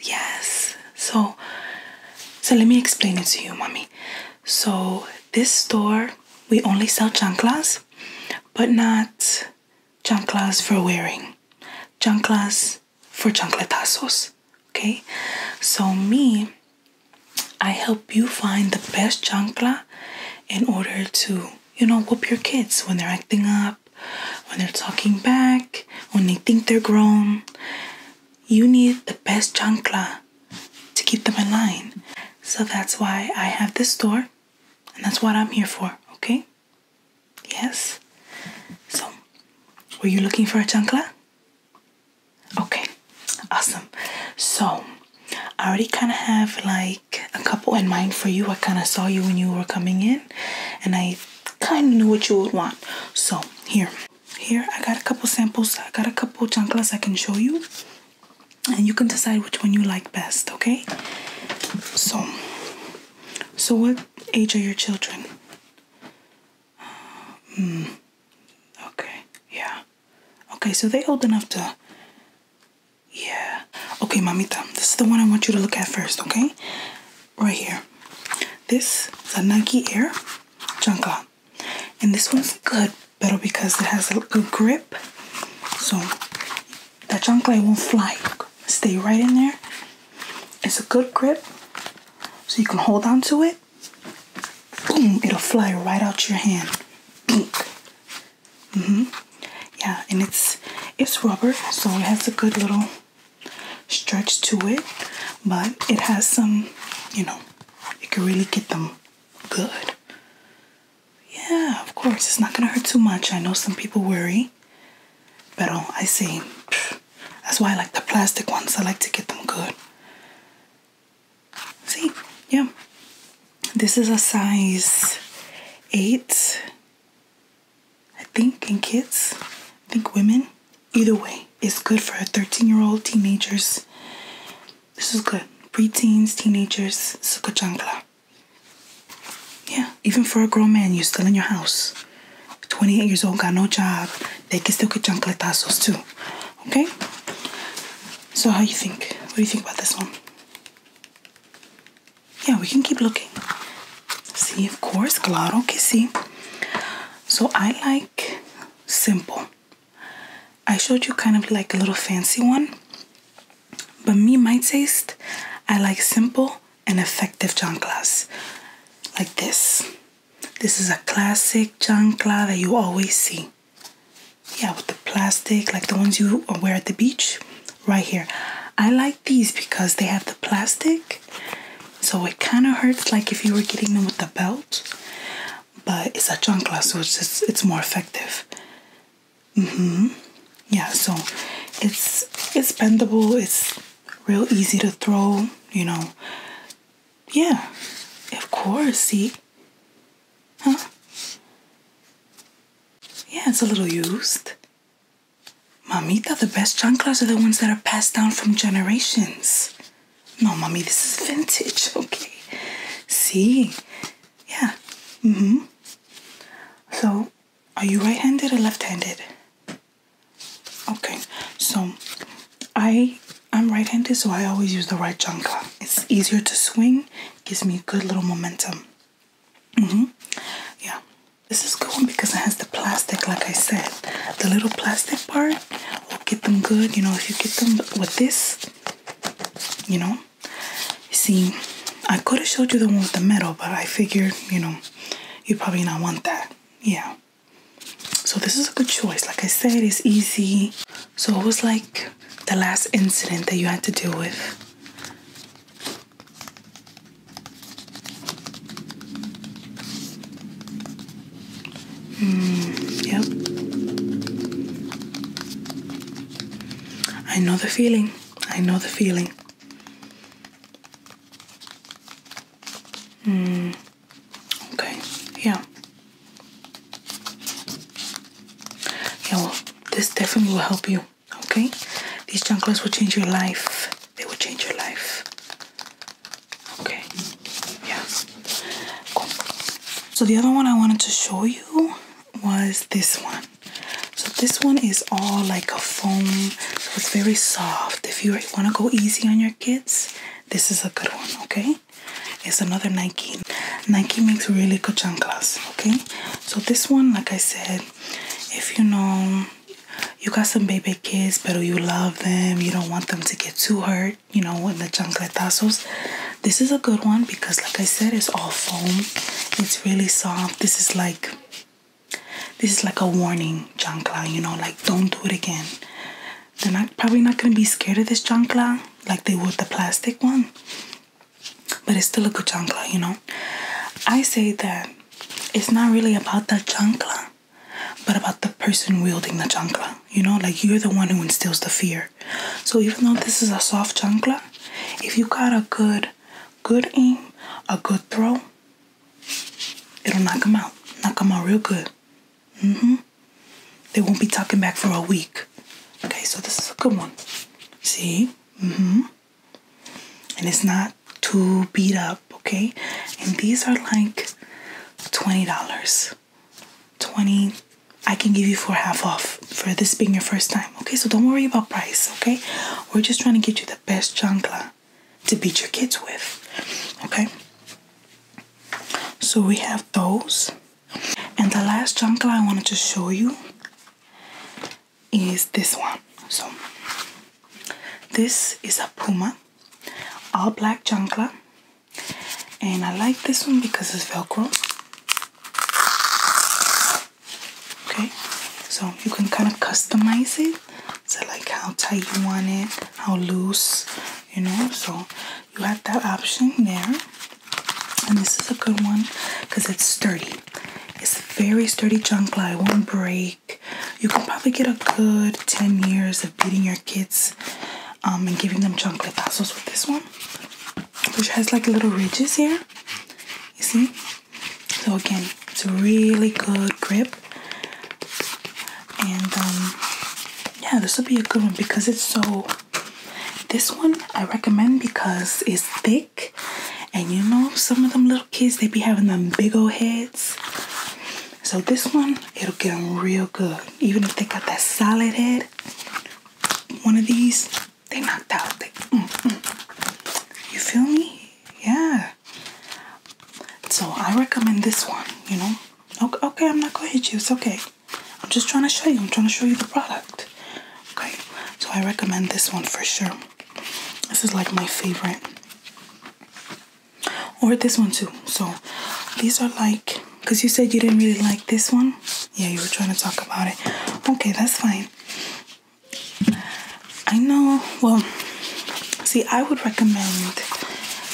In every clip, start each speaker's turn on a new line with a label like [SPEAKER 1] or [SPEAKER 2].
[SPEAKER 1] yes. So, so let me explain it to you, mommy. So this store we only sell chanclas, but not chanclas for wearing. Chanclas for chancletazos. Okay. So me, I help you find the best chancla in order to you know whoop your kids when they're acting up when they're talking back, when they think they're grown. You need the best chancla to keep them in line. So that's why I have this store, and that's what I'm here for, okay? Yes? So, were you looking for a chancla? Okay, awesome. So, I already kind of have like a couple in mind for you. I kind of saw you when you were coming in, and I kind of knew what you would want. So here, here I got a couple samples. I got a couple chanclas I can show you, and you can decide which one you like best. Okay. So, so what age are your children? Um, mm, okay. Yeah. Okay. So they old enough to yeah. Okay, mamita. This is the one I want you to look at first, okay? Right here. This is a Nike Air Junka. And this one's good, better because it has a good grip. So that Junka won't fly. Stay right in there. It's a good grip. So you can hold on to it. Boom, it'll fly right out your hand. Boom. Mm hmm Yeah, and it's it's rubber, so it has a good little stretch to it, but it has some, you know, you can really get them good. Yeah, of course, it's not gonna hurt too much. I know some people worry, but oh, I see. that's why I like the plastic ones. I like to get them good. See, yeah, this is a size eight I think, in kids, I think women. Either way, it's good for a 13 year old, teenagers. This is good. Preteens, teenagers, suka chancla. Yeah, even for a grown man, you're still in your house. 28 years old, got no job. They can still get tassels too. Okay? So how you think? What do you think about this one? yeah, we can keep looking. See, of course, claro que sí. So I like simple. I showed you kind of like a little fancy one. But me, my taste, I like simple and effective chanclas. Like this. This is a classic chancla that you always see yeah with the plastic like the ones you wear at the beach right here i like these because they have the plastic so it kind of hurts like if you were getting them with the belt but it's a chancla so it's it's more effective hmm yeah so it's it's bendable it's real easy to throw you know yeah of course see huh yeah, it's a little used. Mamita, the best chanclas are the ones that are passed down from generations. No, mommy, this is vintage, okay? See? Yeah. Mm-hmm. So, are you right-handed or left-handed? Okay, so I I'm right-handed, so I always use the right chancla. It's easier to swing gives me a good little momentum. -hmm. Yeah, this is good one because it has the plastic, like I said. The little plastic part will get them good. You know, if you get them with this, you know. See, I could have showed you the one with the metal, but I figured, you know, you probably not want that. Yeah. So this is a good choice. Like I said, it's easy. So it was like the last incident that you had to deal with? Mm, yep. I know the feeling. I know the feeling. Mm, okay, yeah. Yeah, this definitely will help you. Okay, these chunklets will change your life. They will change your life. Okay, yeah. So the other one I wanted to show you was this one. So this one is all like a foam. So it's very soft. If you want to go easy on your kids, this is a good one. Okay. It's another Nike. Nike makes really good chanclas, okay? So this one, like I said, if you know you got some baby kids, but you love them, you don't want them to get too hurt, you know, with the chancletazos. This is a good one because, like I said, it's all foam. It's really soft. This is like, this is like a warning chancla, you know, like don't do it again they're not probably not gonna be scared of this chancla like they would the plastic one. But it's still a good chancla, you know. I say that it's not really about the chancla, but about the person wielding the chancla. You know, like you're the one who instills the fear. So even though this is a soft chancla, if you got a good, good aim, a good throw, it'll knock them out. Knock them out real good. hmm they won't be talking back for a week. Okay, so this is a good one. See? Mm-hmm. And it's not too beat up, okay? And these are like $20. 20 I can give you for half off for this being your first time. Okay, so don't worry about price, okay? We're just trying to get you the best chancla to beat your kids with. Okay? So we have those. And the last chunk I wanted to show you is this one. So this is a Puma all black chancla and I like this one because it's velcro okay so you can kind of customize it so like how tight you want it how loose you know so you have that option there and this is a good one because it's sturdy it's very sturdy junk lie won't break you can probably get a good 10 years of beating your kids um, and giving them chocolate tassels with this one which has like little ridges here you see so again it's a really good grip and um, yeah, this would be a good one because it's so. This one I recommend because it's thick, and you know some of them little kids they be having them big old heads. So this one it'll get them real good, even if they got that solid head. One of these they knocked out. Mm, mm. You feel me? Yeah. So I recommend this one, you know. Okay, I'm not gonna hit you, it's okay. I'm just trying to show you, I'm trying to show you the product. Okay, so I recommend this one for sure. This is like my favorite. Or this one too. So these are like, because you said you didn't really like this one. Yeah, you were trying to talk about it. Okay, that's fine. I know, well, see, I would recommend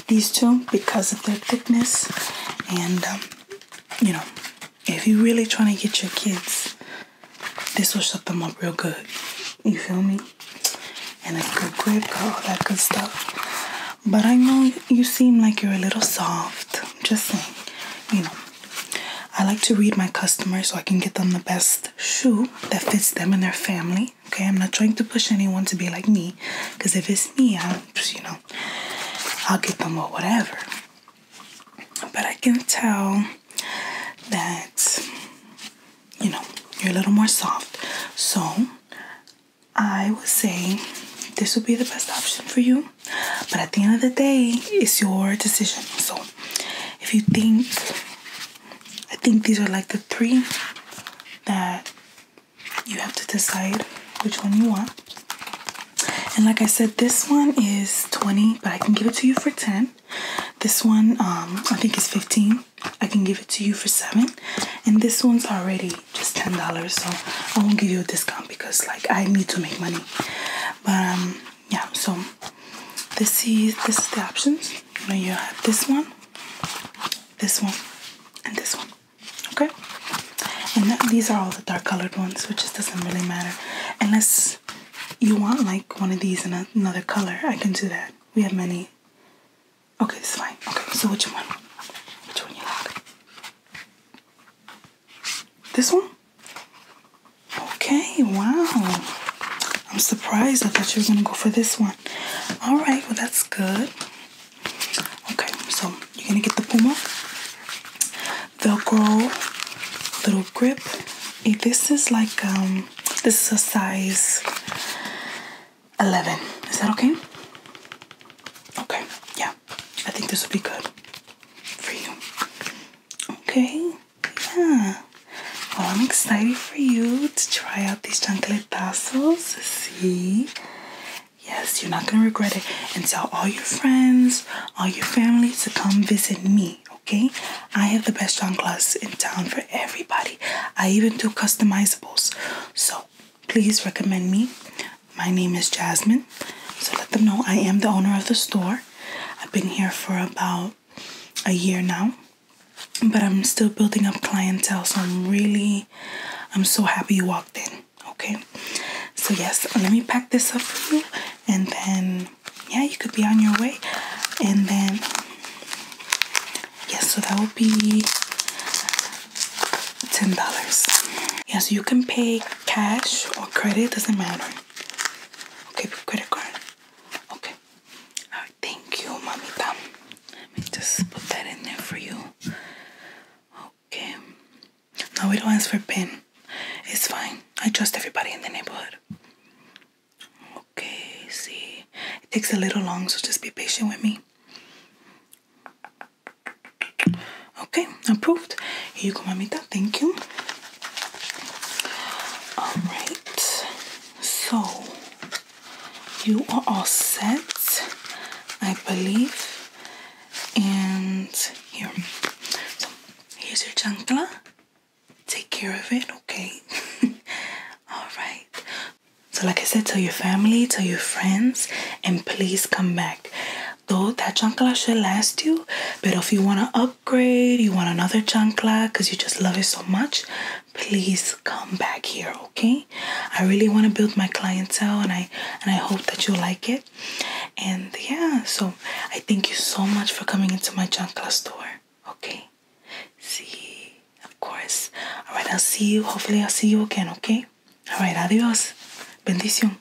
[SPEAKER 1] these two because of their thickness. And, um, you know, if you're really trying to get your kids, this will shut them up real good. You feel me? And a good grip, all that good stuff. But I know you seem like you're a little soft. Just saying, you know. I like to read my customers so I can get them the best shoe that fits them and their family Okay, I'm not trying to push anyone to be like me, because if it's me, I'll, you know, I'll get them or whatever. But I can tell that, you know, you're a little more soft. So I would say this would be the best option for you. But at the end of the day, it's your decision. So if you think I think these are like the three that you have to decide which one you want. And like I said, this one is 20, but I can give it to you for 10. This one, um, I think is 15. I can give it to you for 7. And this one's already just $10, so I won't give you a discount because like I need to make money. But um, yeah, so this is this is the options. Now you have this one, this one, and this one. Okay? And these are all the dark colored ones, which just doesn't really matter. Unless you want like one of these in another color, I can do that. We have many. Okay, it's fine. Okay, so which one? Which one you like? This one? Okay, wow. I'm surprised. I thought you were going to go for this one. All right, well, that's good. Okay, so you're going to get the Puma Velcro little grip. this is like, um, this is a size 11. Is that okay? Okay, yeah. I think this would be good for you. Okay. Yeah. Well, I'm excited for you to try out these chancletazos. See? Yes, you're not going to regret it. And tell all your friends, all your family to come visit me, okay? I have the best chanclas in town for everybody. I even do customizables. So please recommend me. My name is Jasmine. So let them know I am the owner of the store. I've been here for about a year now but i'm still building up clientele so i'm really i'm so happy you walked in okay so yes let me pack this up for you and then yeah you could be on your way and then yes yeah, so that would be ten dollars yeah, yes so you can pay cash or credit doesn't matter Okay, with credit card. Okay. thank you, mamita. Let me just put that in there for you. Okay. No, we don't ask for PIN. It's fine. I trust everybody in the neighborhood. Okay, see. It takes a little long, so just be patient with me. Okay, approved. Here you go, mamita. Thank you. All right, so you are all set, I believe. And here, here's your chancla. Take care of it, okay? all right. So, like I said, tell your family, tell your friends, and please come back. Though that chancla shall last you, but if you want to up upgrade, you want another chancla because you just love it so much, please come back here, okay? I really want to build my clientele and I and I hope that you like it. And yeah, so I thank you so much for coming into my chancla store. Okay. See, of course. Alright, I'll see you. Hopefully I'll see you again, okay? Alright, adios. Bendición.